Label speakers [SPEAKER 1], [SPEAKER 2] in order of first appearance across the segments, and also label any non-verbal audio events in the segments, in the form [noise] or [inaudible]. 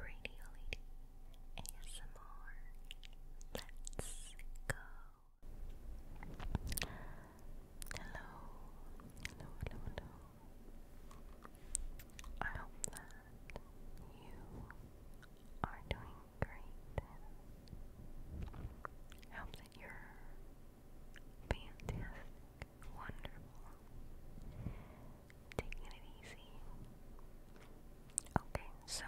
[SPEAKER 1] Radio Lady ASMR. Let's go. Hello, hello, hello, I hope that you are doing great. I hope that you're fantastic, wonderful, taking it easy. Okay, so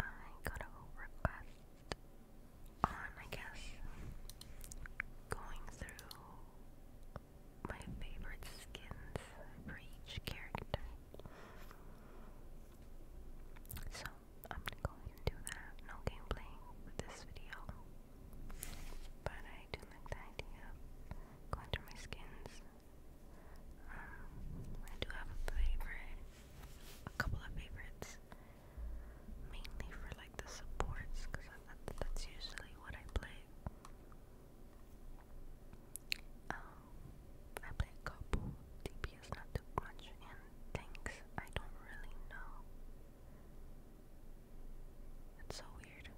[SPEAKER 1] I got a request on, I guess, going through my favorite skins for each character. So I'm gonna go ahead and do that. No gameplay with this video. But I do like the idea going through my skins. Um, I do have a favorite, a couple of favorites, mainly for like the supports, because that's usually what I play. Um, I play a couple DPS, not too much, and tanks. I don't really know that's so weird.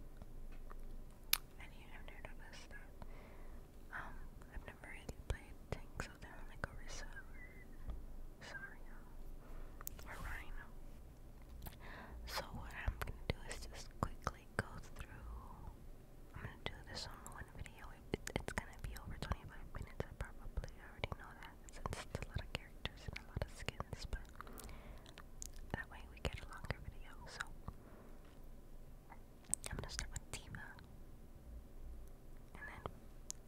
[SPEAKER 1] And you have never noticed that. Um, I've never really played tanks of them like Orisa or Rhino. So what I'm gonna do is just quickly go through I'm gonna do this on one video. it's gonna be over 25 minutes. I already know that since it's a lot of characters and a lot of skins, but that way we get a longer video, so I'm gonna start with Tima and then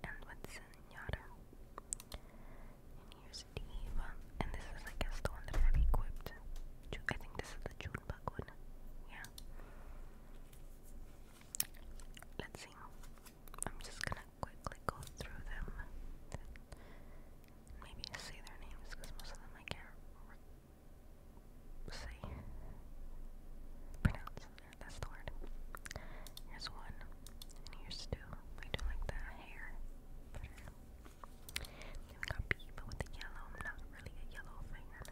[SPEAKER 1] end with Senyata. And here's Tiva. And this is I guess the one that I've equipped. I think this is the June one. Yeah. Let's see. I'm just gonna quickly go through them maybe say their names because most of them I can't say. Pronounce. That's the word. Here's one. And here's two. I do like the hair. Better. Then we got with the yellow. not really a yellow fan.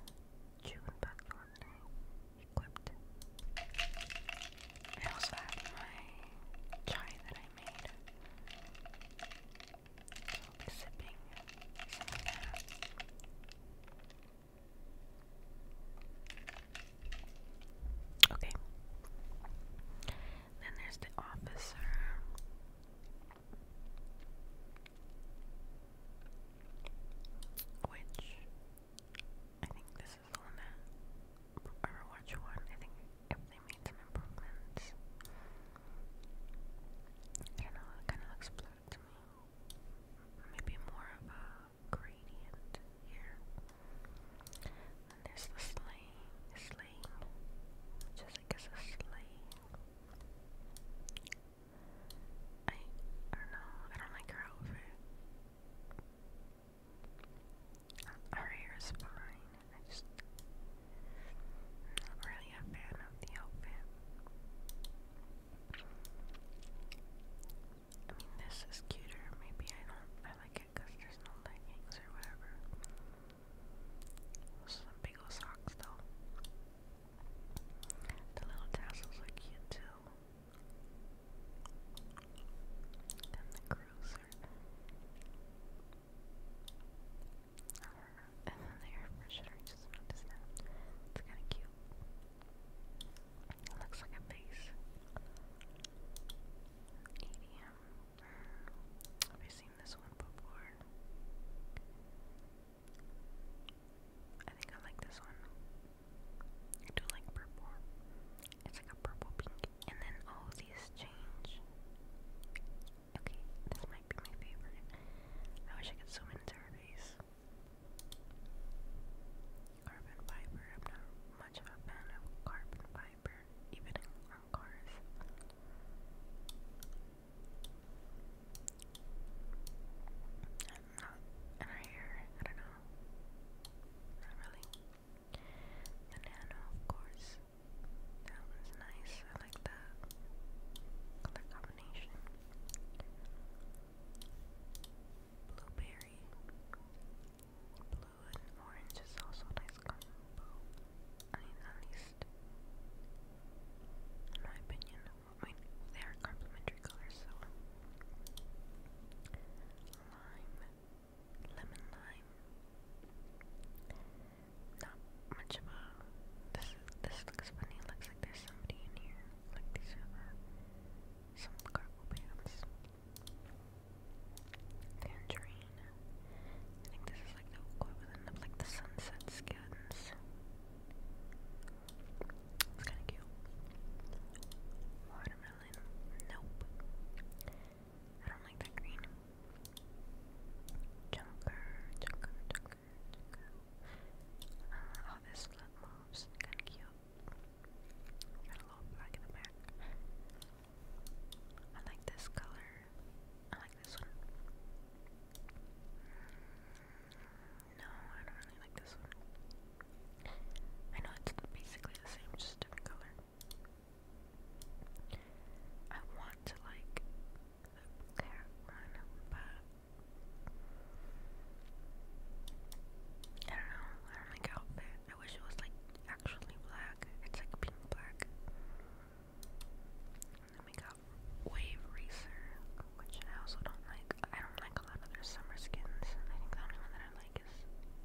[SPEAKER 1] June back from equipped. I also have my chai that I Okay. Then there's the officer. Which I think this is the one that one. I think they made some I don't know, it kind of looks blue to me. Maybe more of a gradient here. And there's the sleigh, sleigh, which is, a sleigh. I, I don't know, I don't like her outfit. Her hair is fine. I just. not really a fan of the outfit. I mean, this is cuter. Maybe I don't. I like it because there's no leggings or whatever. some big old socks, though. The little tassels are cute, too. Then the cruiser. Uh, and then the air freshener just noticed that. It's kinda cute. It looks like a face. EDM. Have I seen this one before? I think I like this one. I do like purple. It's like a purple pink and then all these change. Okay, this might be my favorite. I wish I could zoom into her face. Carbon fiber. not much of a fan of carbon fiber, even on cars. I'm not. And her hair. I don't know. Not really. Banana, of course. That one's nice. I like that color combination. Blueberry. Blue and orange is also a nice combo. I mean, at least, in my opinion. they are complementary colors, so. Lime lemon lime. Not much of a. This this looks funny. looks like there's somebody in here. Like these are some cargo pants. Tangerine. I think this is like the equivalent of like the sunset skins. It's kind of cute. Watermelon. Nope. I don't like that green. Junker, junker, junker, junker. Uh, oh, this flip Kinda cute. Got a little black in the back. I like this color. I like this one. Mm, no, I don't really like this one. I know it's basically the same, just different color. I want to like the cat but I don't know. I don't like outfit. I wish it was like actually black. It's like pink black. then we got Wave Racer, which I also don't like. I don't like a lot of their summer skins. I think the only one that I like is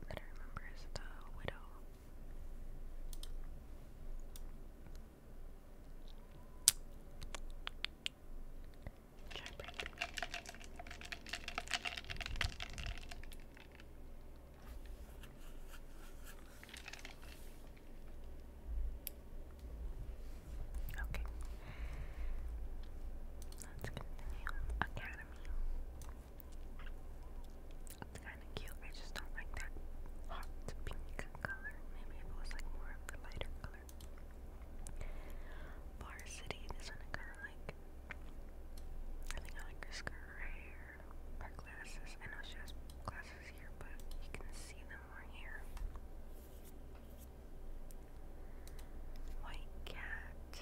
[SPEAKER 1] that I remember is the Widow. Try break. Okay. Let's Academy. It's kind of cute. I just don't like that hot pink color. Maybe it was like more of the lighter color. Varsity. This kind of like. I think I like this girl Her glasses. I know she has glasses here, but you can see them more here. White cat.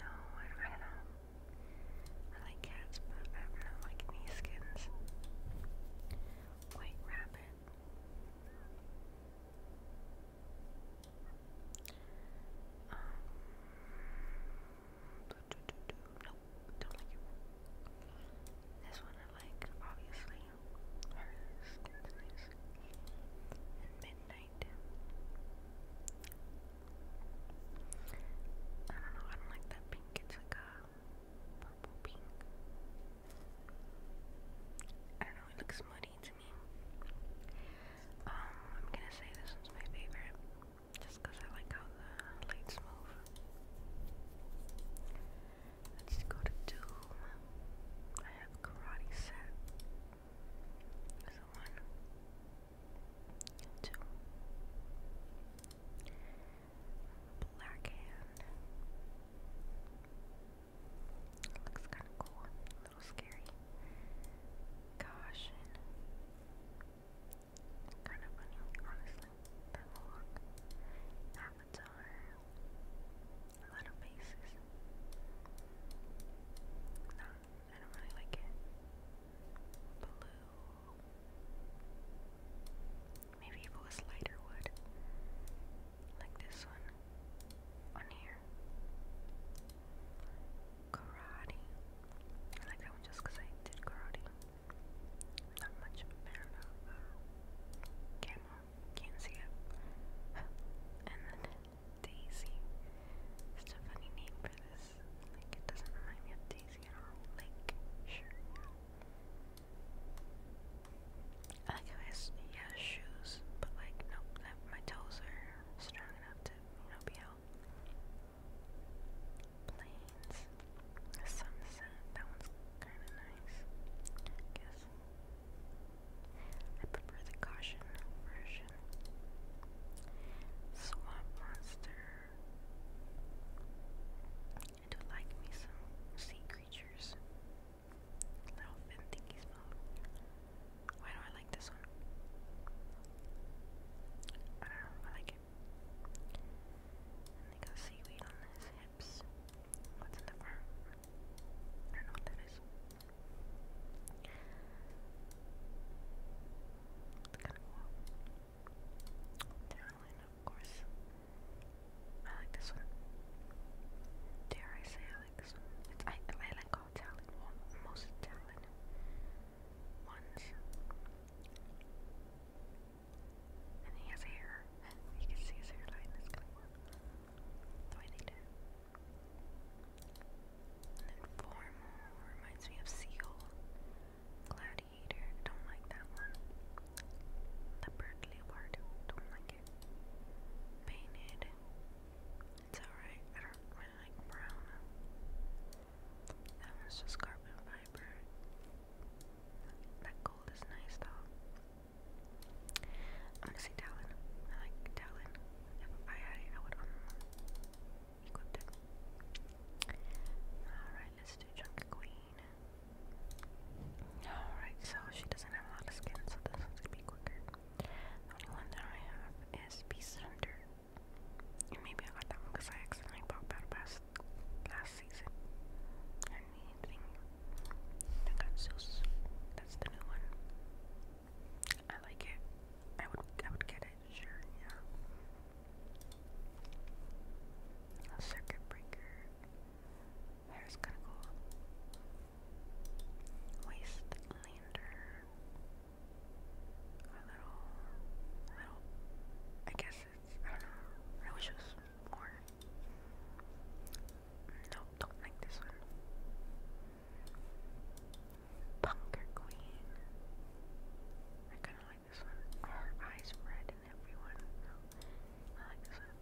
[SPEAKER 1] No, oh, I, don't know. I like cats, but I don't like any skins. White rabbit. Um, Nope, don't like it. This one I like, obviously. Hers, and Midnight night. I don't know, I don't like that pink. It's like a purple pink. I don't know, it looks muddy to me. Um, I'm gonna say this one's my favorite. Just I like how the lights move. Let's go to Doom. I have karate set. So one, two, black hand. Looks kind of cool, a little scary. Caution. Kind of funny, honestly. That look. Avatar. A lot of I don't really like it. Blue. Maybe if it lighter wood. Like this one. On here. Karate. I like that one just because I did karate. much of a Can't see it. [laughs] and then Daisy. It's a funny name for this. Like, it doesn't remind me of Daisy at all. Like, sure, I like how shoes, but like, nope, my toes are strong enough to, you out. Planes. Sunset. That one's kind of nice, guess. I prefer the caution version. Swamp monster. I do like me some sea creatures. Little fin thingy Why do I like this one? I don't like it. And they got seaweed on his hips. What's in the front? I don't know what that is. Darylin, of course. I like this one. Dare I say I like this one? I, like all Italian, most Italian ones. And he has hair. You can see his hairline the way they did. And reminds me of seal. Gladiator, don't like that one. Leopard, leopard, don't like it. Painted, it's alright. I don't really like brown. That one's just carbon fiber. That gold is nice though. I'm gonna say Talon. I like Talon if I um, Alright, let's do Junker Queen. Alright, so she doesn't have a lot of skin, so this one's gonna be quicker. The only one that I have is Beast Hunter. maybe I got that because I accidentally bought Battle Pass last season. I need thing. That's the new one. I like it. I would I would get it, sure, yeah. circuit breaker. Hair's gonna go. Wastelander. A little little I guess it's I don't know. I wish it was more. Nope, don't like this one. Punker Queen. I kind of like this one. her eyes red and everyone. I like this one.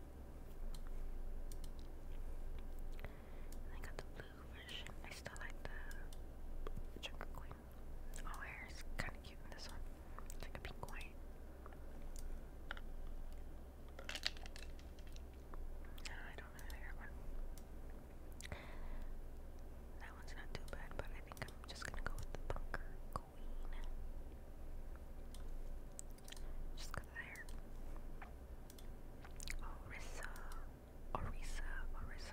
[SPEAKER 1] And got the blue version. I still like the Junker Queen. Oh, hair is kind of cute in this one. It's like a pink white. No, I don't know that one. That one's not too bad, but I think I'm just gonna go with the bunker queen. Just go there. Orisa, Orisa, Orisa. Okay,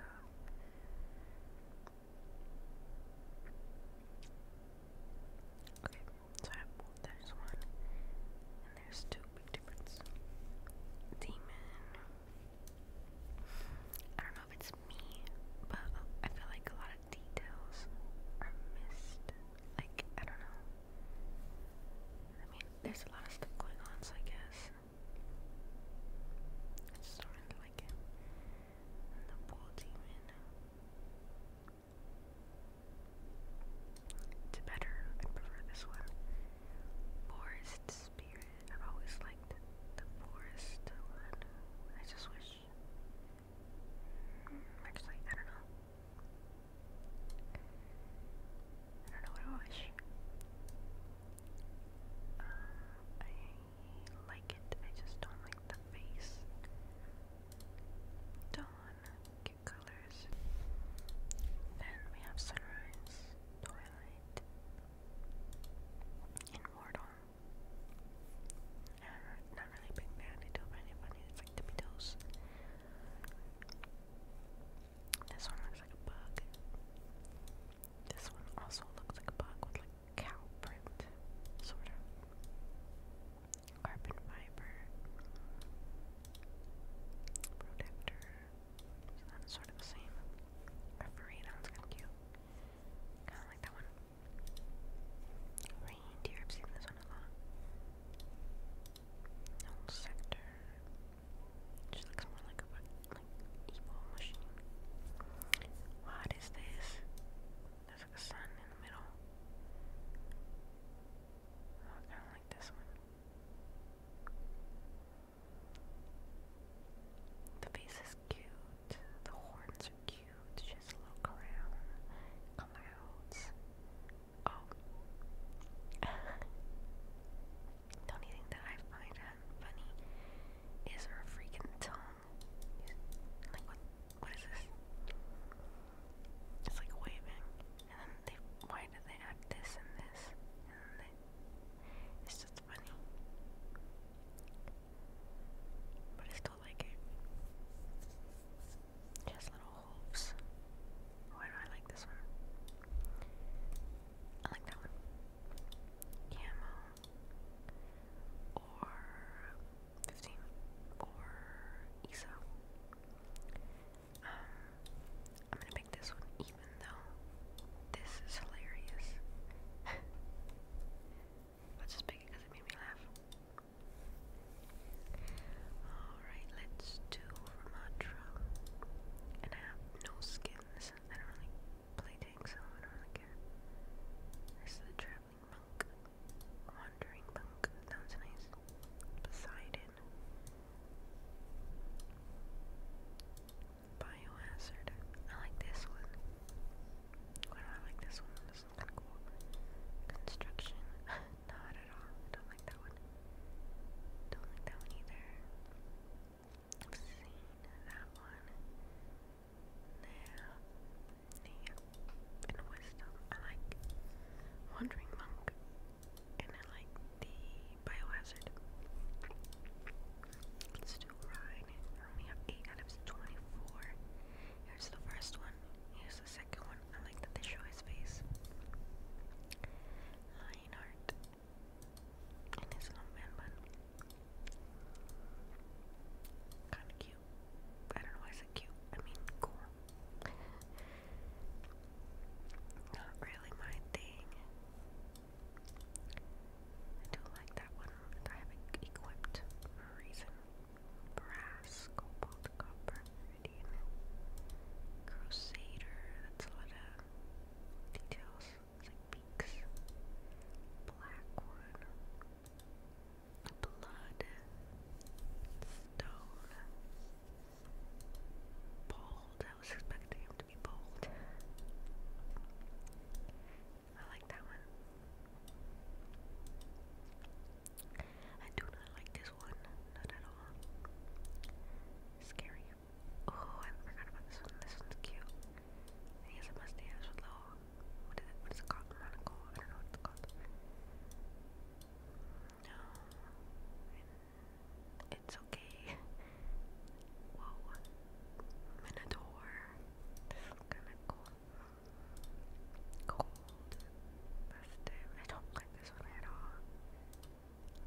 [SPEAKER 1] so there's one. There's two big difference. Demon. I don't know if it's me, but I feel like a lot of details are missed. Like, I don't know. I mean, there's a lot of stuff going on, so I guess. I just don't like the bull demon. It's better. I prefer this one. Forest Spirit. I've always liked the forest one. I just wish. Mm, actually, I don't know. I don't know what I wish. Uh, I like it. I just don't like the face. Dawn, colors. Then we have Sunrise, Twilight, Immortal. not really big fan, don't find it it's like tippy toes. This one looks like a bug. This one also looks like a bug with like cow print, sort of. Carbon fiber protector that is sort of the same. Referee, that one's kind of cute. Kind of like that one. Reindeer, I've seen this one a lot. No sector. She looks more like a like evil machine. What is this? There's a sun in the middle. Oh, I kind of like this one. The face is cute, the horns are cute, just look around, clouds. Oh. the [laughs] only thing that I find funny is her freaking tongue. Like, what, what is this? It's like waving and then why do they add this and this, it's just funny, but I still like it, it little hooves, why do I like this one? I like that one, camo, or 15, or Isa. Um, I'm gonna make this one even though this is hilarious. [laughs] let just pick it it made me laugh. Alright, let's do Ramatra. And I have no skins. I don't really play tanks, so I don't really care. This is the Traveling Monk. Wandering Monk. Sounds nice. Poseidon. Biohazard. I like this one. I like this one? This one's kinda cool. Construction. [laughs] Not at all. don't like that one. Don't like that one either. I've seen that one. Nah. Nah. wisdom. I like Wandering Monk and I like the Biohazard. Let's do have 8 out of 24. Here's the first one. Here's the second one. I like that they show his face. Lionheart. And his little man bun. Kinda cute. I don't know why I cute. I mean, cool. Not really my thing. I do like that one I have equipped for a reason. Brass, cobalt, copper, iridium, crusader, that's a lot of details. It's like beaks. Black one. Blood. Stone bold. I was expecting him to be bold. I like that one. I do not like this one, not at all. Scary. Oh, I forgot about this one. This one's cute. He has a mustache with little. What is it? What is it called? I don't know no. It's okay. Whoa. Minotaur. This is kinda cool. Cold. Festive. I don't like this one at all.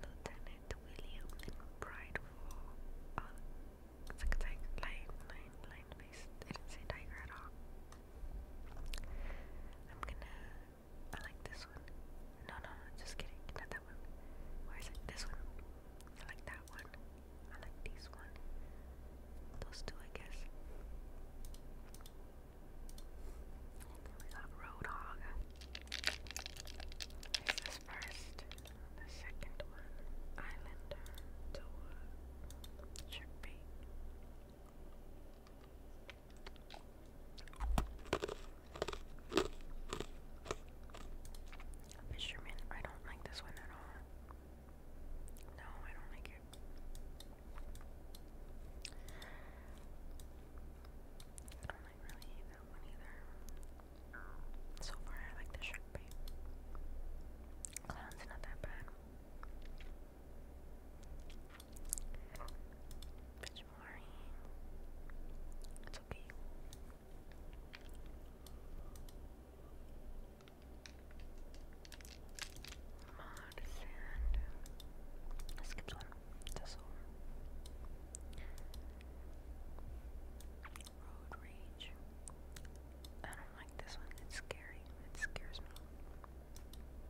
[SPEAKER 1] Lieutenant William and Brideful. Oh, a tiger. Lion, lion, lion face. I did tiger I'm gonna I like this one. No, no, no, just kidding. Not that one. Where is it? This one. I like that one. I like these one. Those two, I guess. we got Roadhog. Here's this first. The second one. Islander. Toa. Chickpea. Uh, Fisherman, I don't like this one at all. No, I don't like it. I don't like really that one either. So far, I like the shark Clown's not that bad. Bitch, It's okay. Mod sand. I skipped one. That's all. Road rage. I don't like this one. It's scary. It scares me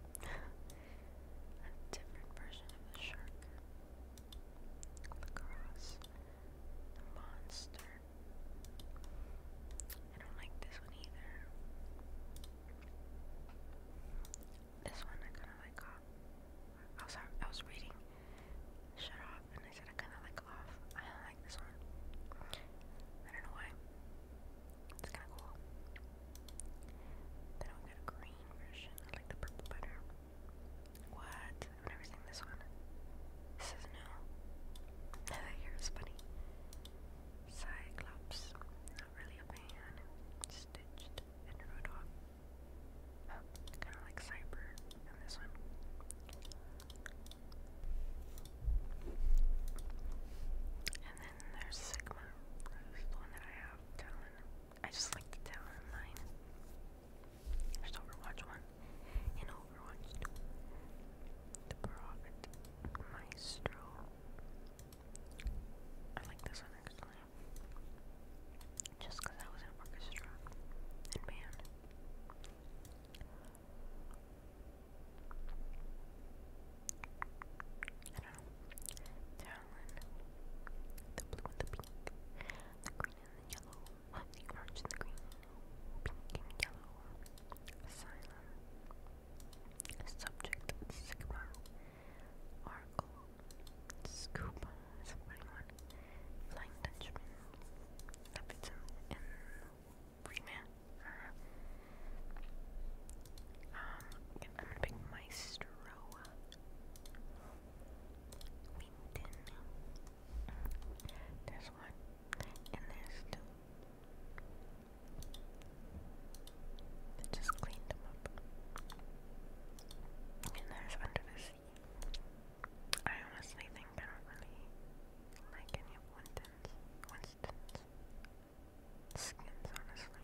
[SPEAKER 1] a different version of the shark. Lacrosse. The monster. I don't like this one either. This one I kinda like off. I was, I was reading Shut Off and I said I kinda like off. I don't like this one. I don't know why. It's kinda cool. Then we got a green version. I like the purple better. What? I've never seen this one. This is new. [laughs] That funny. Cyclops. Not really a man. Stitched and wrote kind of like Cyber and this one. And then there's Sigma. This is the one that I have, I just like the tower of mine. There's Overwatch 1 and Overwatch 2. The Brock Maestro. I like this one actually. Just because I was in orchestra and band. Carolyn. The blue and the pink. The green and the yellow. The orange and the green. Pink and yellow. Asylum. Subject Sigma. Oracle. Scoop. Is one. Flying Dutchman. Leviton and Freeman. um, I'm gonna pick Maestro. Winton. There's one, and there's two. just cleaned them up. And there's Under the Sea. I honestly think I don't really like any of Winston's. Winston's skins, honestly.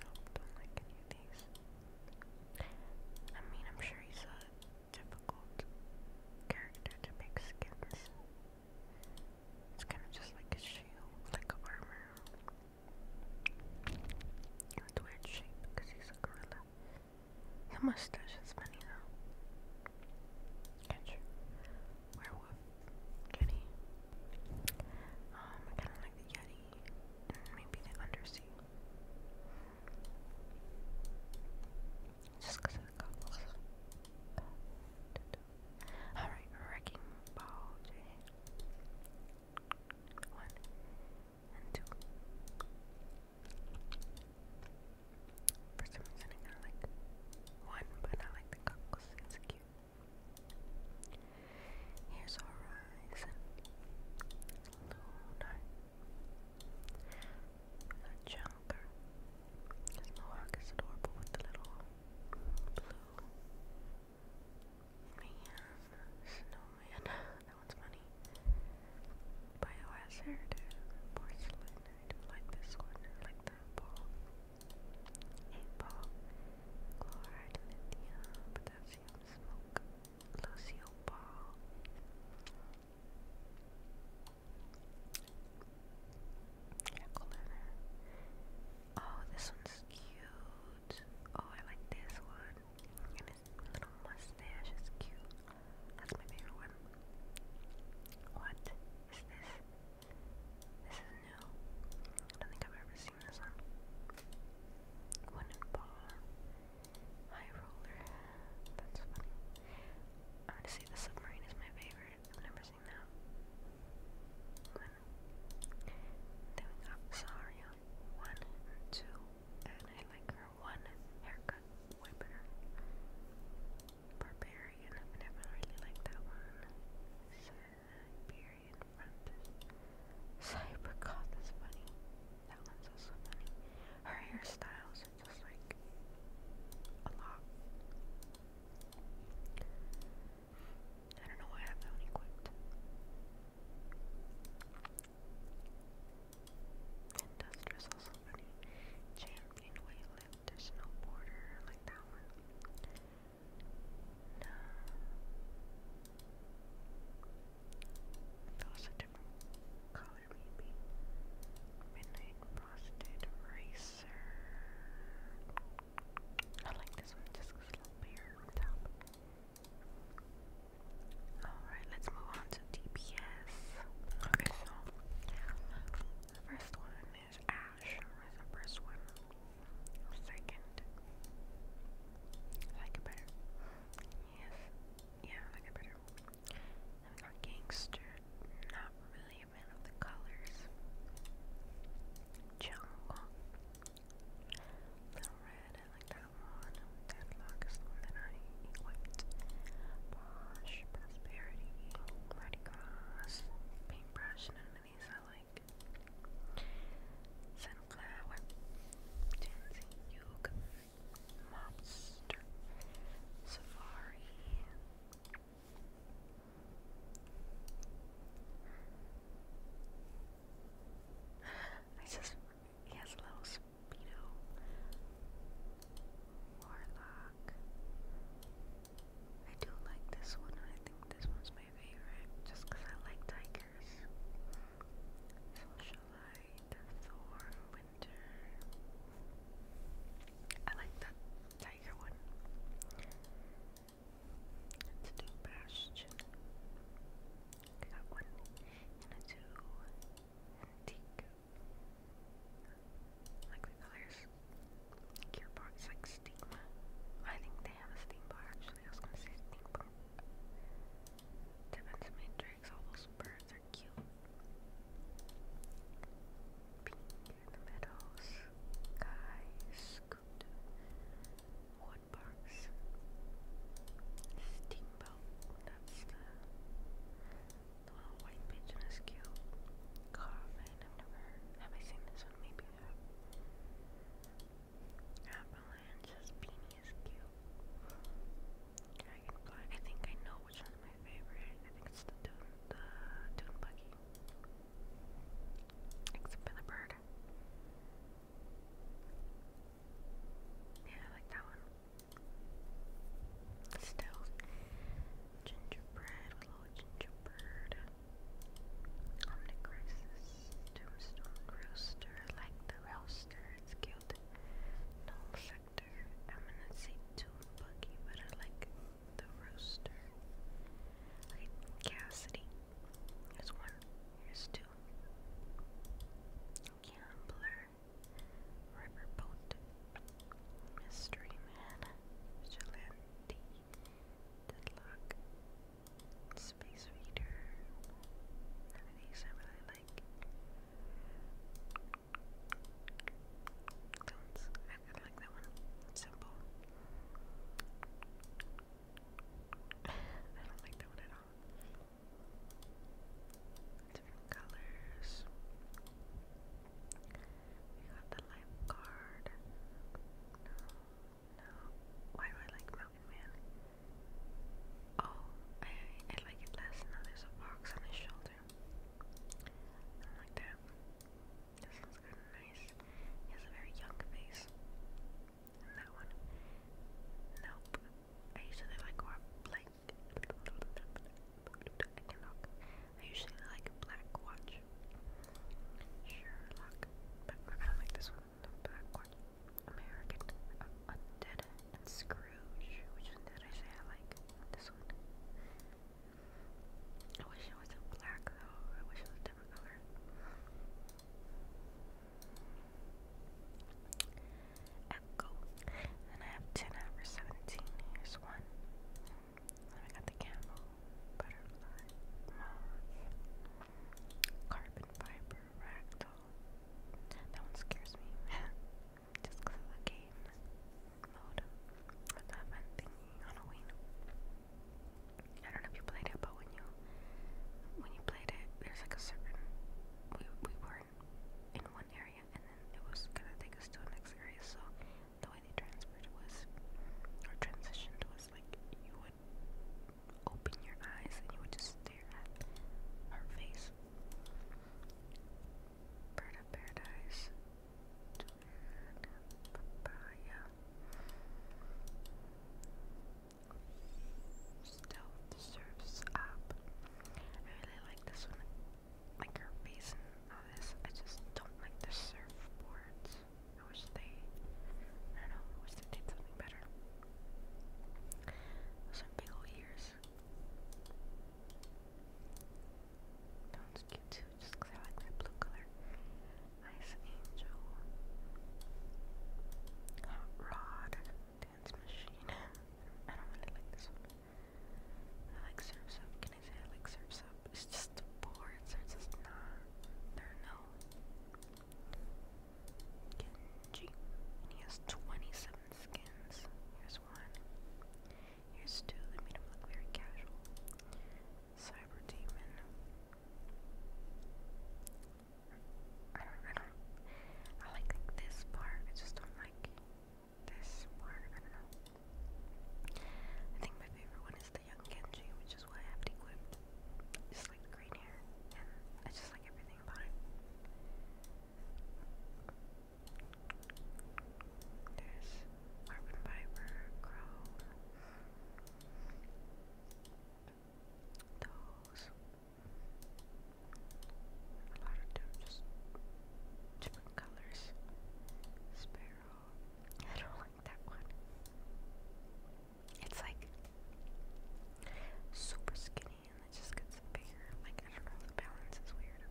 [SPEAKER 1] Nope, don't like any of these. I mean, I'm sure he's a difficult character to make skins. It's kind of just like a shield, like armor. With weird shape he's a gorilla. Your mustache is funny though. Catch werewolf kitty. Um, I kind of like the yeti mm, maybe the undersea. Just because of Alright, wrecking ball One and two. For some reason, I kinda like one, but I like the cockles. It's cute. Here's Horizon. Lunar. A Junker. His mohawk is adorable with the little blue. Man. Snowman. [laughs] that one's funny. Biohazard. Porcelain. I do like this one purple, apple, chloride, lithium, potassium, smoke, lucio ball. Oh, this one's cute. Oh, I like this one. And little mustache is cute. That's my favorite one. What is this? This is new. I don't think I've ever seen this one. Wooden ball. High roller. That's funny. I'm gonna say the submarine is my favorite. I've never seen that. One. Then we got Saria. One and two. And I like her one haircut. Whipper. Barbarian. I never really liked that one. Siberian Frontier. Cybergoth funny. That one's also funny. Her hairstyles are just like a lot. I don't know why I have that one Industrious also funny. Champion Whale additional border like that one. No. That was color, maybe. Midnight Frosted Racer. I like this one just it's a little bare on top. Alright, let's move on to DPS. Okay, so first one is Ash was the first one. Second. like it better. Yes. Yeah, like it better. I'm not gangster. Not really a fan of the colors. Jungle. Little red, I like that one. Deadlock is the I equate. Prosperity, Red Cross, Paintbrush, none of these I like. Sunflower, Tansy Yoga, Mobster, Safari. I just, he has a little speedo. Warlock. I do like this one. I think this one's my favorite just because I like tigers. Socialite, Thor, Winter. I like that tiger one. Let's do Bastion. got one and a two. Antique like the colors. Cure bar like stigma. I think they have a steam bar actually. I was gonna say steam bar. Defense matrix. All those birds are cute. Pink in the meadows. Sky scoot. Wood That's the the little white pigeon is cute. Carvin, I've never have I seen this one? Maybe I have. beanie is cute. Dragonfly. I think I know which one's my favorite. I think it's the Dune, the Dune buggy. Except for the bird. Yeah, I like that one. Still, Gingerbread, Glow Gingerbread, Omnicrisis, Tombstone Rooster, like the Rouster, it's cute. Null Sector, I'm gonna say Tomb Buggy, but I like the Rooster. Like Cassidy, here's one, here's two. Gambler, Riverboat, Mystery Man, Vigilante, Deadlock, Space Reader. these I really like. I, I like that one. Simple. [laughs] I don't like that one at all. Different colors. We got the lifeguard. Why do I like Mountain Man? Oh, I, I like it less now. There's a box on his shoulder. I like that. This one's kind of nice. He has a very young face. that one. Nope. I usually like more like I usually like Black Watch. Sherlock. But I don't like this one. Black Watch. American. Uh, undead. Scrooge. Which one did I say I like? This one. I wish it wasn't black though. I wish it was a different color. Echo. And I have 10 out of 17. Here's one. I got the camel, butterfly, moth, carbon fiber, ragdoll. That one scares me. [laughs] Just because of game mode. What's that fun thingy? Halloween. I don't know if you played it, but when you when you played it, there's like a certain we we weren't in one area, and then it was gonna take us to the next area, so the way they transferred was, or transitioned was like you would open your eyes and you would just stare at her face. Bird of Paradise, Papaya, Stealth Surfs Up. I really like this one like her face and all this. I just don't like the surfboards. I wish they, I don't know, wish they did something better. Those are big old ears. That one's cute too, just I like that blue color. Nice angel. Hot rod. Dance machine. [laughs] I don't really like this one. I like syrup Can I say I like syrup It's just boring. words are just not. they no. Kenji. he has 27 skins. Here's one. Here's two. They made him look very casual. Cyber Demon. I like this part, I just don't like this part, I don't know. I think my favorite one is the young Genji, which is what I have to equip. Just like green hair, and I just like everything about it. There's carbon fiber, chrome, those. A lot of them just colors. Sparrow. I don't like that one. It's like super skinny and it just gets bigger. Like, I don't know, the balance is weird.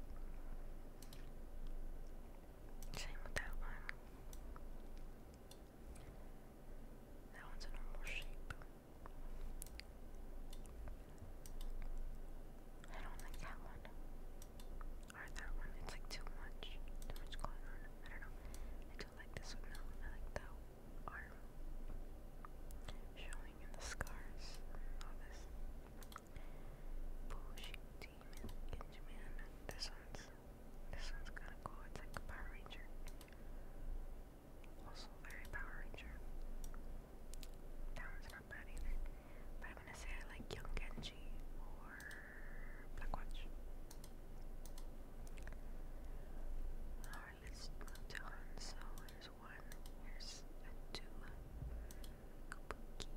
[SPEAKER 1] Same with that one. That one's a normal shape. I don't like that one. Or that one, it's like too much. Too much going on. I don't know. I do like this one though. I like the arm showing in the scars all this. Bullshit demon, Ginjaman. This one's this one's kinda cool. It's like a Power Ranger. Also very Power Ranger. That one's not bad But I'm gonna say I like Young Genji or Black Alright, let's move to Hanzo. Here's one, here's two. Kabuki,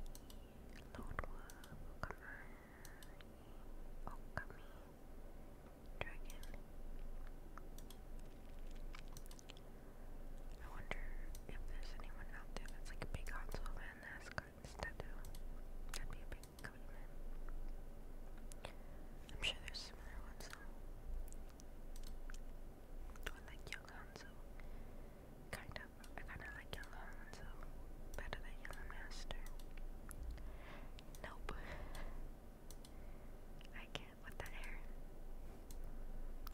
[SPEAKER 1] Lodwa, Okamani, Okami, Dragon. I wonder if there's anyone out there that's like a big Hansel fan that's got this tattoo. That'd be a big commitment. I'm sure there's similar ones though. I like young Hanzo. Kind of. I kinda like young Hanzo. Better than young master. Nope. I can't with that hair.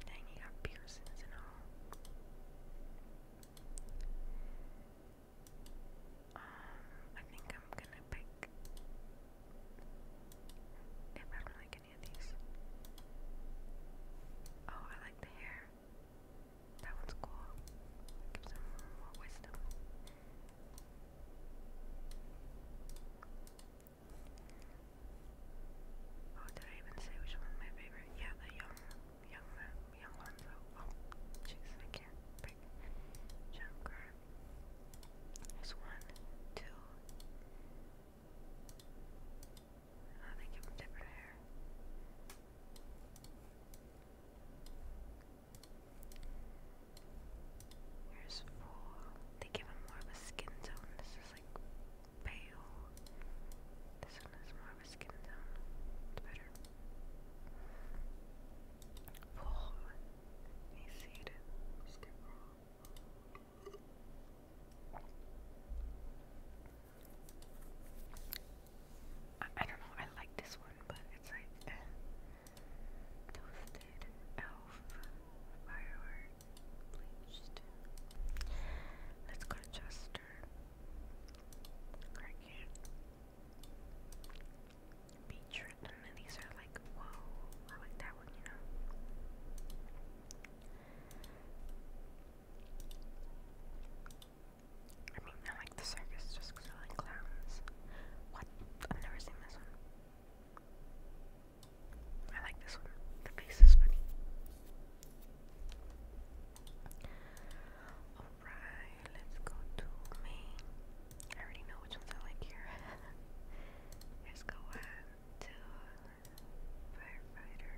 [SPEAKER 1] Dang, he got piercings and all. Um, I think I'm gonna pick. If I don't like any of these. Oh, I like the hair. That one's cool. Gives them more wisdom. Oh, did I even say which one's my favorite? Yeah, the young, young, young ones. Oh, oh, jeez, I can't pick. Junkrat. There's one, two. Oh, they give them different hair. Here's four. They give him more of a skin tone like pale. This one is more of a skin tone. It's better. Full. You see it? I, don't know, I like this one, but it's like eh. toasted elf firework bleached. Let's go to chest water. I and these are like, whoa, I like that one, you know? I mean, I like the circus just I like clowns. What? I've never seen this one. I like this one. The face is funny. Alright, let's go to main. I already know which ones I like here. [laughs] let's go one, firefighter.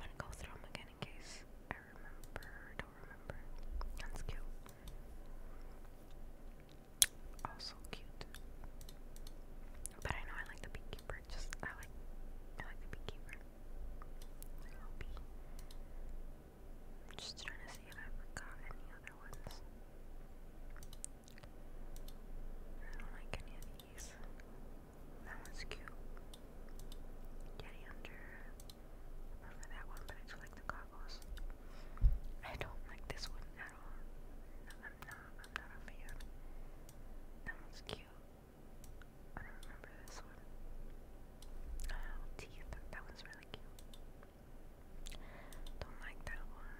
[SPEAKER 1] I'm gonna go through them again in case I remember, don't remember. That's cute. Also cute. But I know I like the beekeeper. Just I like I like the beekeeper. I'll just trying to see if I forgot any other ones. I don't like any of these. That one's cute. Getty under. I prefer that one, but I do like the goggles. I don't like this one at all. No, I'm not. I'm not a fan. That one's cute. I don't remember this one. Oh, teeth. That one's really cute. Don't like that one.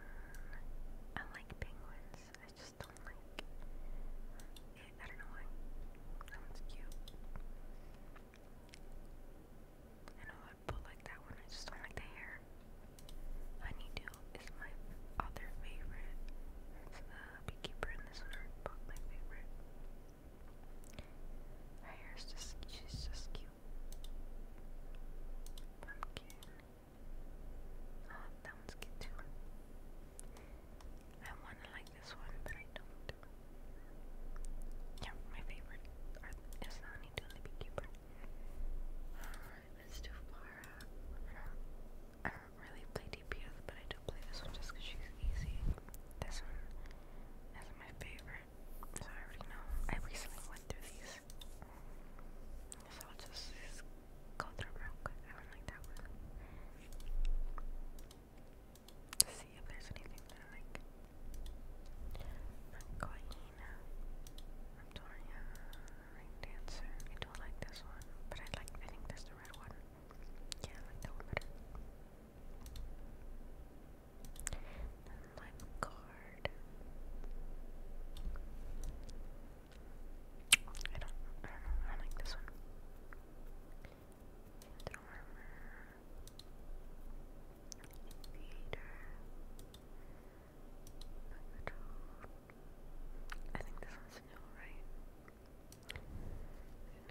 [SPEAKER 1] I like penguins. I just don't like I don't know why. That one's cute. I know I would like that one. I just don't like the hair. Honeydew is my other favorite. It's the beekeeper and this one are my favorite. Her just, she's just cute. Pumpkin. Oh, that one's cute too. I want to like this one, but I don't. Yeah, my favorite is the honeydew beekeeper. Alright, let's do really play DPS, but I do play this one just she's easy. This one is my favorite, so I already know. I recently went through these, so I'll just, go through them real quick. I don't like that one. See if there's anything I like. Makoina, Raptoria, Ring Dancer. I don't like this one, but I like, I think this the red one. Yeah, like that one better. Then I don't, I don't know, I like this one. Phantom armor. I think this one's new, right?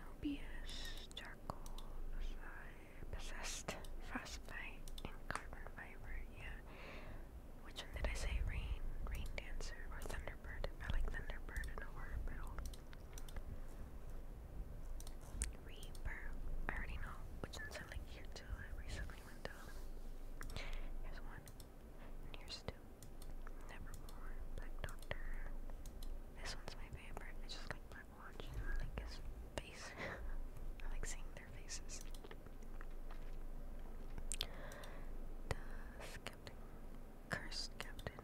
[SPEAKER 1] Nobius, charcoal, possessed, frostbite, and carbon fiber, yeah. Which one did I say? Rain, rain dancer, or thunderbird? I like thunderbird in orbital. Reaper, I already know which ones I like here too. I recently went to um, Here's one. And here's two. Nevermore, Black Doctor. This one's my favorite. I just like Black Watch. like his face. [laughs] I like seeing their faces. The Cursed Captain.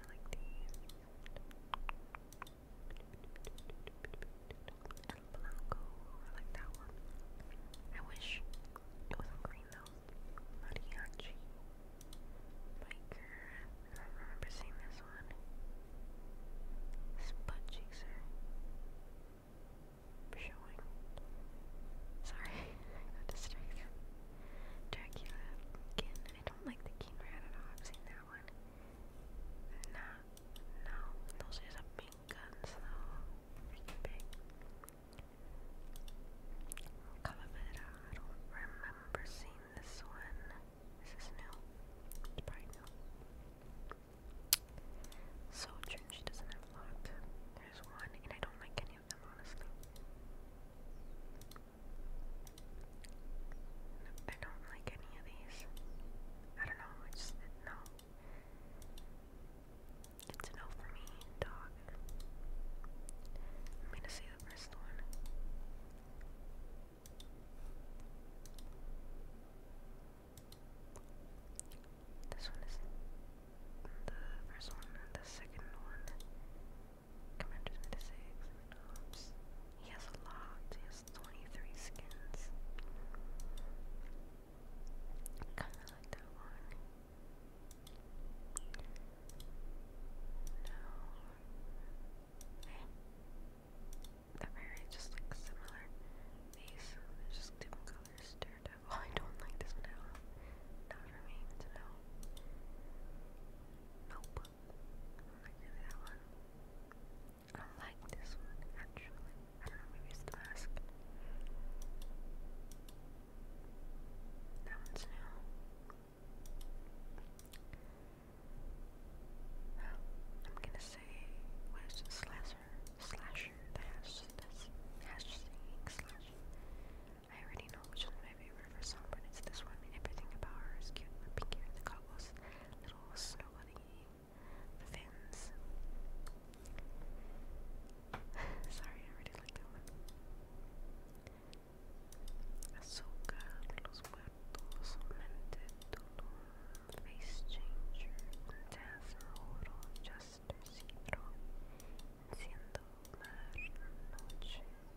[SPEAKER 1] I like these. El Blanco. I wish it was green though. Mariachi. Biker. I remember seeing this one. Spud Chaser. Showing. Sorry, [laughs] got distracted. Dracula. Kin. I don't like the King Rat at all. I've seen that one. Not no, those are big guns though. big. Calavera, I do remember seeing this one. Is new? It's probably new. So she doesn't have a lot. There's one, and I don't like any of them, honestly. I don't like any of these. I don't know, it's no. It's a no for me, I'm gonna say the first one. This one is the first one, the second one. Commander 96, Ops. He has a lot, he 23 skins. Kinda like that one. No. Eh. very just like similar. These um, just different colors. Daredevil. [laughs] I don't like this one at all. Not for Nope. I like that one. I don't like this one actually. I don't know, maybe it's the mask. That one's new. Oh, I'm gonna say, what is it, slasher? Slasher, the hash, slash. I already know which one's my favorite for song, it's this one. Everything about her is cute. pink hair, the goggles, little snow bunny fins. [laughs] Sorry, I really like that one. Azúcar, Los Muertos, Mented, Face Changer, Fantasma, Oro, Juster, Cedro, Noche,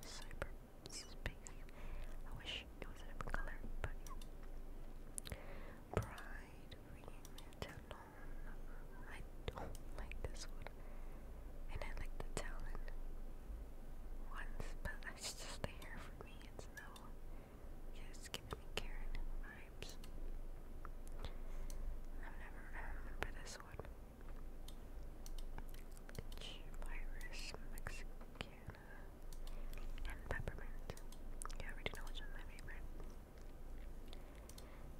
[SPEAKER 1] Cyber Space. I wish orange. It was a different color, but yeah. Pride Reinvention. I don't like this one. And I like the talon ones, but that's just the hair for me. It's no. it's giving me Karen vibes. I've never, I remember this one. Virus Mexican and peppermint. You already know which one's my favorite.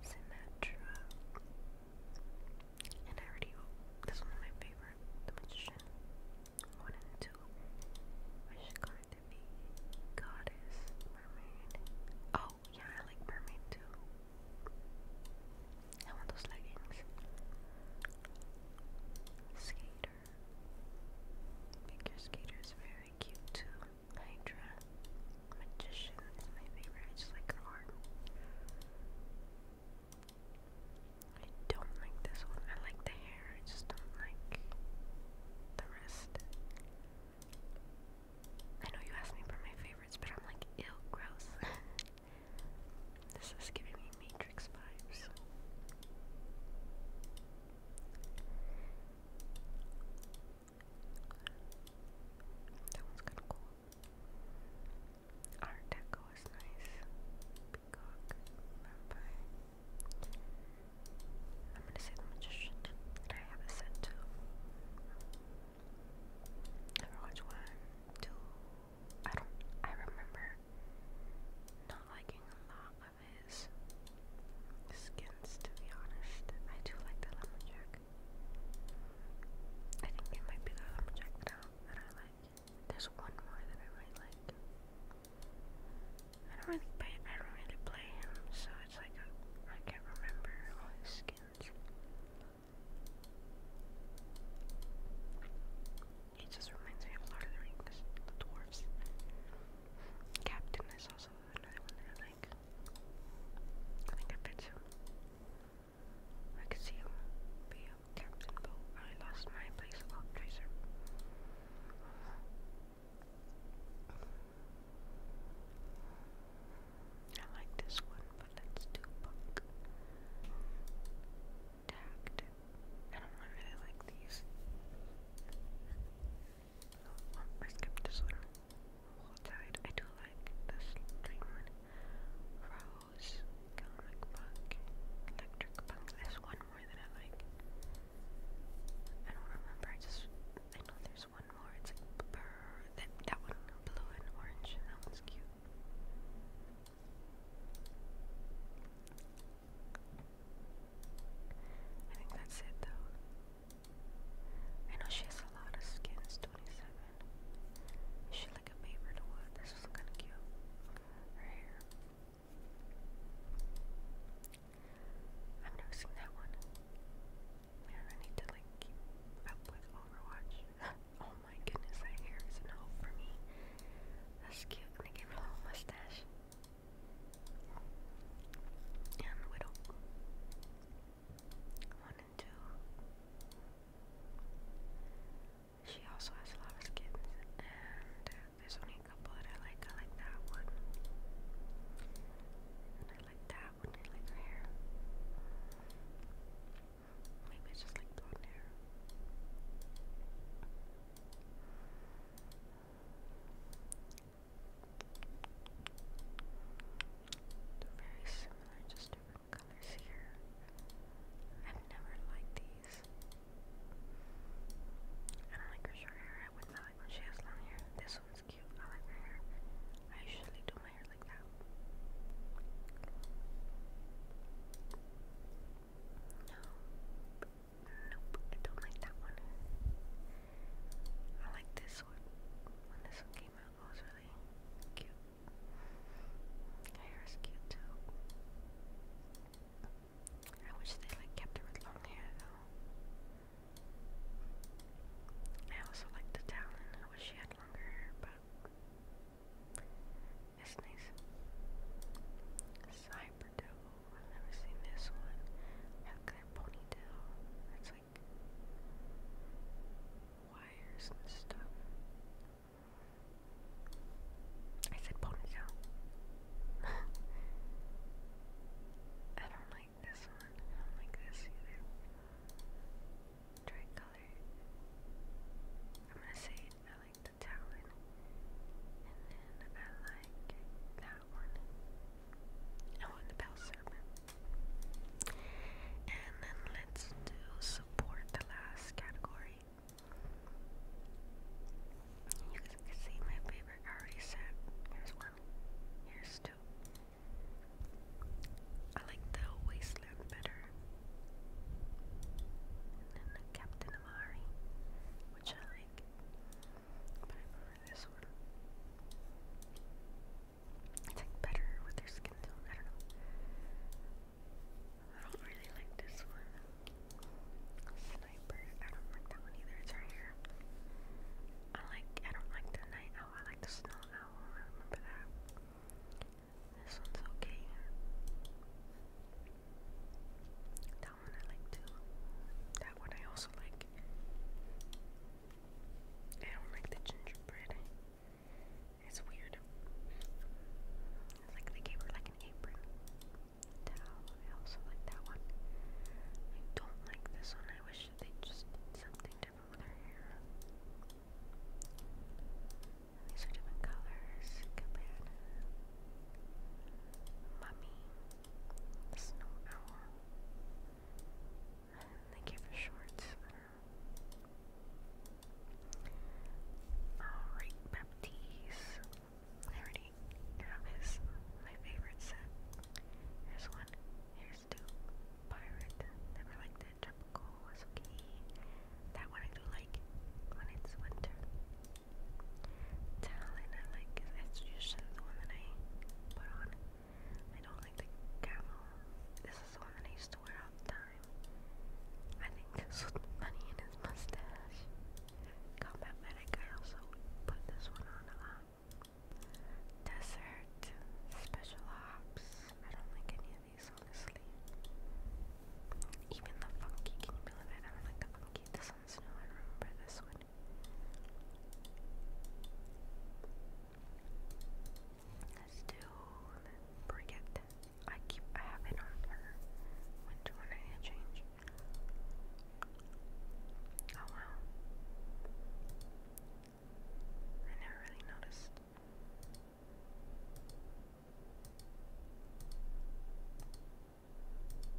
[SPEAKER 1] Sinatra. And I already oh, this one's my favorite. The magician. One and two. Which is going be goddess, mermaid. Oh yeah, I like mermaid too. I want those leggings. Skate skater. skater is very cute too. Hydra. Magician is my favorite. I just like her arm. I don't like this one. I like the hair. I just don't like the rest. I know you asked me for my favorites, but I'm like, ill, gross. [laughs] this is giving me me Matrix vibes. That one's kind of cool. Art Deco is nice. I'm gonna say the magician. And I have a set too. Ever one, two? I don't. I remember not liking a lot his skins, to be honest. I do like the lumberjack. I think it might be the lumberjack now that I like. There's one more that I really like. I don't really play. I don't really play him, so it's like a, I can't remember all his skins. It just reminds me of Lord of the Rings, the dwarves. Captain is also another one I like. I I fits see him be a captain, I lost my place about Tracer. I like this one, but let's do tact. I don't really like these. I skipped this one. Wall I do like this green one. Rose, electric punk. There's one more that I like. I don't remember. I just I know there's one more. It's like brr, that that one blue and orange. That one's cute. I think that's it though. I know she has a lot of skins, 27. Is she like a favorite or This was kinda cute. Her hair. I'm noticing that one. Man, I need to like keep up with Overwatch. [laughs] oh my goodness, that hair is an hope for me. That's cute. they gave her a little mustache and widow. One and two. She also has a lot of skins, and uh, there's only a couple that I like. I like that one, I like that one. I like her hair. Maybe it's just like blonde hair very similar, just different colors here. i never liked these. I like her short hair. I would not like when she has long hair. This one's cute. I like her hair. I usually do my hair like that. No. Nope, I don't like that one. I like this one. When this one came out, it was really cute. Her hair is cute too. I wish they like kept her with long hair I also like the talon. I wish she had longer but it's nice. Cyber I've never seen this one. How can ponytail? That's like wires and stuff. I said ponytail. I don't like this one. I don't like this either. Tricolor. I'm gonna say I like the talon. And then I like that one. I want the bell serpent. And then let's do support the last category. You can see my favorite already set. Here's one. Here's two. I like the wasteland better. And then Captain Amari, which I like. I don't really like this one. Sniper. I don't like that one either. It's right here. I like. I don't like the night owl. I like the snow owl. remember that. This one's okay. That one I like too. That one I also like. I don't like the gingerbread. It's weird. It's like they gave her like an apron. I also like that one. I don't like this one. I wish they just something different with her hair. these are different colors. Cabana. Mummy, Snow Owl. They gave us shorts. Alright, Baptiste. I already have his, my favorite set. Here's one, here's two. Pirate, never liked it. Tropical was That one I do like when it's winter talent I like is Estrogen, the one that I put on. I don't like the camel. This is the one I used to wear all the time. I think this in his mustache. Combat Medic, I also put this one on a lot. Uh, Desert, Special Ops, I don't like any of these honestly. Even the funky, can you believe it? I don't like the funky. Let's do Brigitte. I keep I on her. When do I need change? Oh wow. I never really noticed.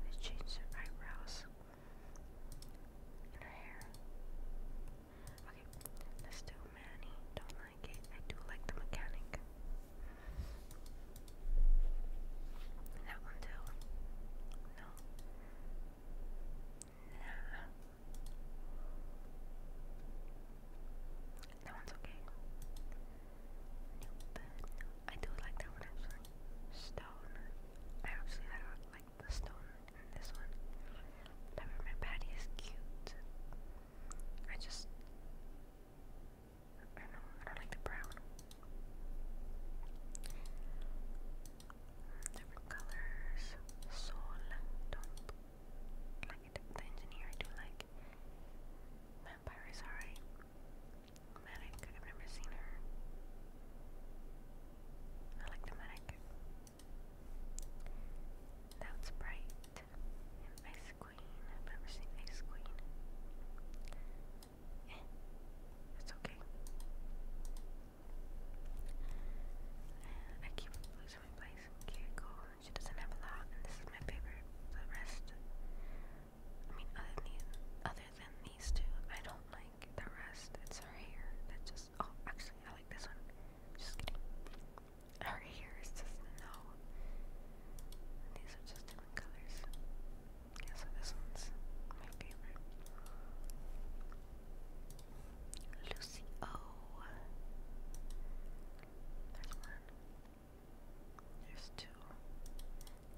[SPEAKER 1] Let's change her eyebrows and her hair. Okay, let's do Manny. Don't like it. I do like the mechanic. That one too. No. Nah. That one's okay. I do like that one actually. Stone. I actually don't like the stone this one. Peppermint patty is cute. I just I know, I don't like the brown. Different colors. Soul. Don't like it. The engineer I do like. Vampire is medic. I've never seen her. I like the medic. That bright. Ice Queen. I've never seen Ice Queen. Eh, it's okay. I keep losing my place. Cuticle. She doesn't have a lot, and this is my favorite. The rest I mean, other than these, other than these two, I don't like the rest. It's her hair that just. Oh, actually, I like this one. Just kidding. Her hair is just no. These are just different colors. Yeah, so this one's my favorite. Lucy O. There's one. There's two.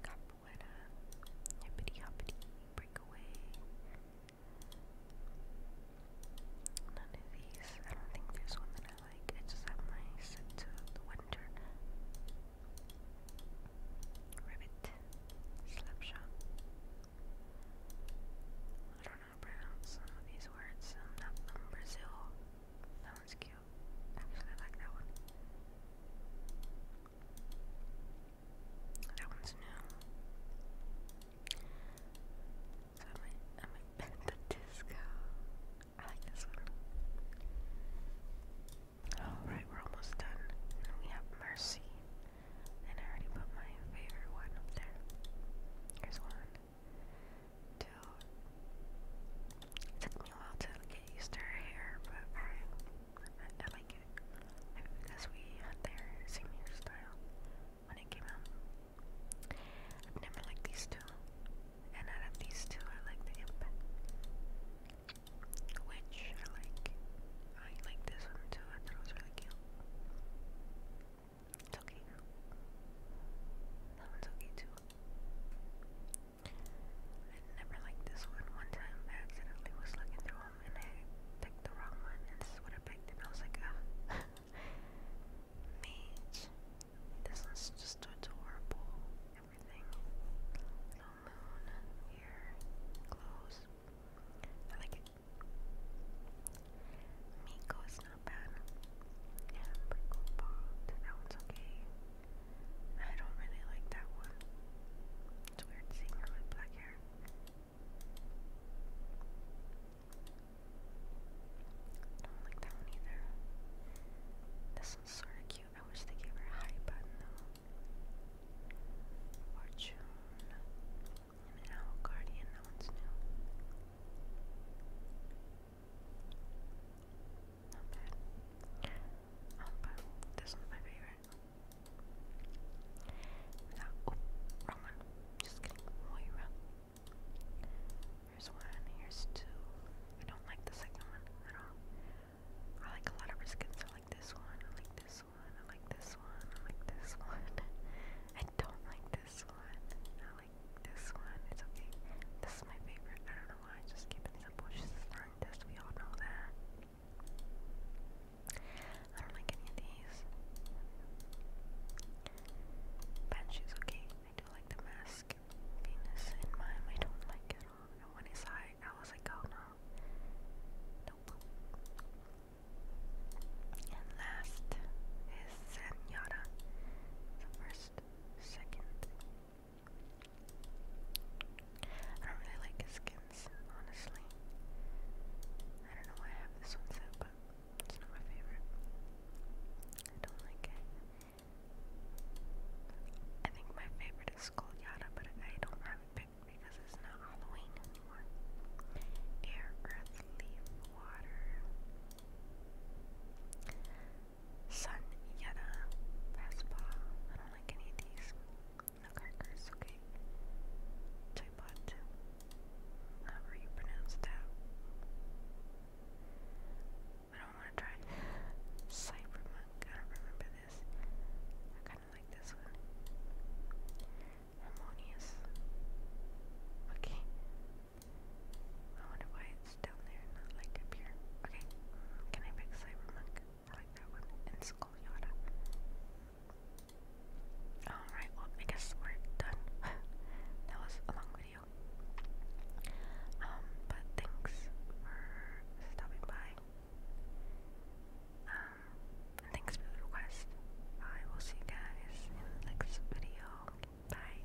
[SPEAKER 1] Capoeira. Hippity hoppity. Breakaway. None of these. I don't think there's one that I like. I just my set to the winter. Ribbit. Slapshot. I don't know how to pronounce some of these words. not from Brazil that one's cute. Actually, I like that one. That one's new. I'm at, disco. I like this one. Alright, we're almost done. we have Mercy. And I already put my favorite one up there. Here's one, it took me a while to get used to her hair, but I, like it. because we had their same hairstyle when it came out. I've never liked these two, and out of these two, I like the imp, which I like. I like this one too. I thought it was really cute. It's okay. That one's okay too. I never liked this one. One time accidentally was looking through them and I picked the wrong one and this is what I picked and I was like, ah. [laughs] Mage. This one's just adorable. Everything. Little moon here. Clothes. I like it. Miko is not bad. Yeah, pretty cool. That one's okay. I don't really like that one. It's weird seeing her with black hair. Don't like that one either. This one's sort of cute. I wish they gave her a high button though. Fortune. And guardian. That one's new. Not bad. Um, but this one's my favorite. oh, wrong one. Just kidding, Moira. Here's one, here's two. I don't like the second one at all. I like a lot of her I like this one, I like this one, I like this one, I like this [laughs] one. I don't like this one. I like this one. It's okay. This is my favorite. I don't know why just keeping these bushes is not test, we all know that. I don't like any of these. Banshee's okay. I do like the mask. Venus and mime, I don't like it all. And when he saw I was like, oh no. Nope. And last is Zen first, second, I don't really like his skins, honestly. I don't know why I have this one set, but it's not my favorite. I don't like it. I think my favorite is Gold Yada, but I don't have it picked because it's not Halloween anymore. Air, earth, leaf, water. Sun Vespa. I don't like any of these. No crackers, okay. Typot. However you pronounce that. I don't want to try. Cybermonk. I don't remember this. I kind of like this one. Harmonious. Okay. I wonder why down there, not like up here. Okay, can I pick Cybermonk? I like that one. And Skull Alright, well, I guess we're done. [laughs] that was a long video. Um, but thanks for stopping by. Um, thanks for the request. I will see you guys in next video. Bye.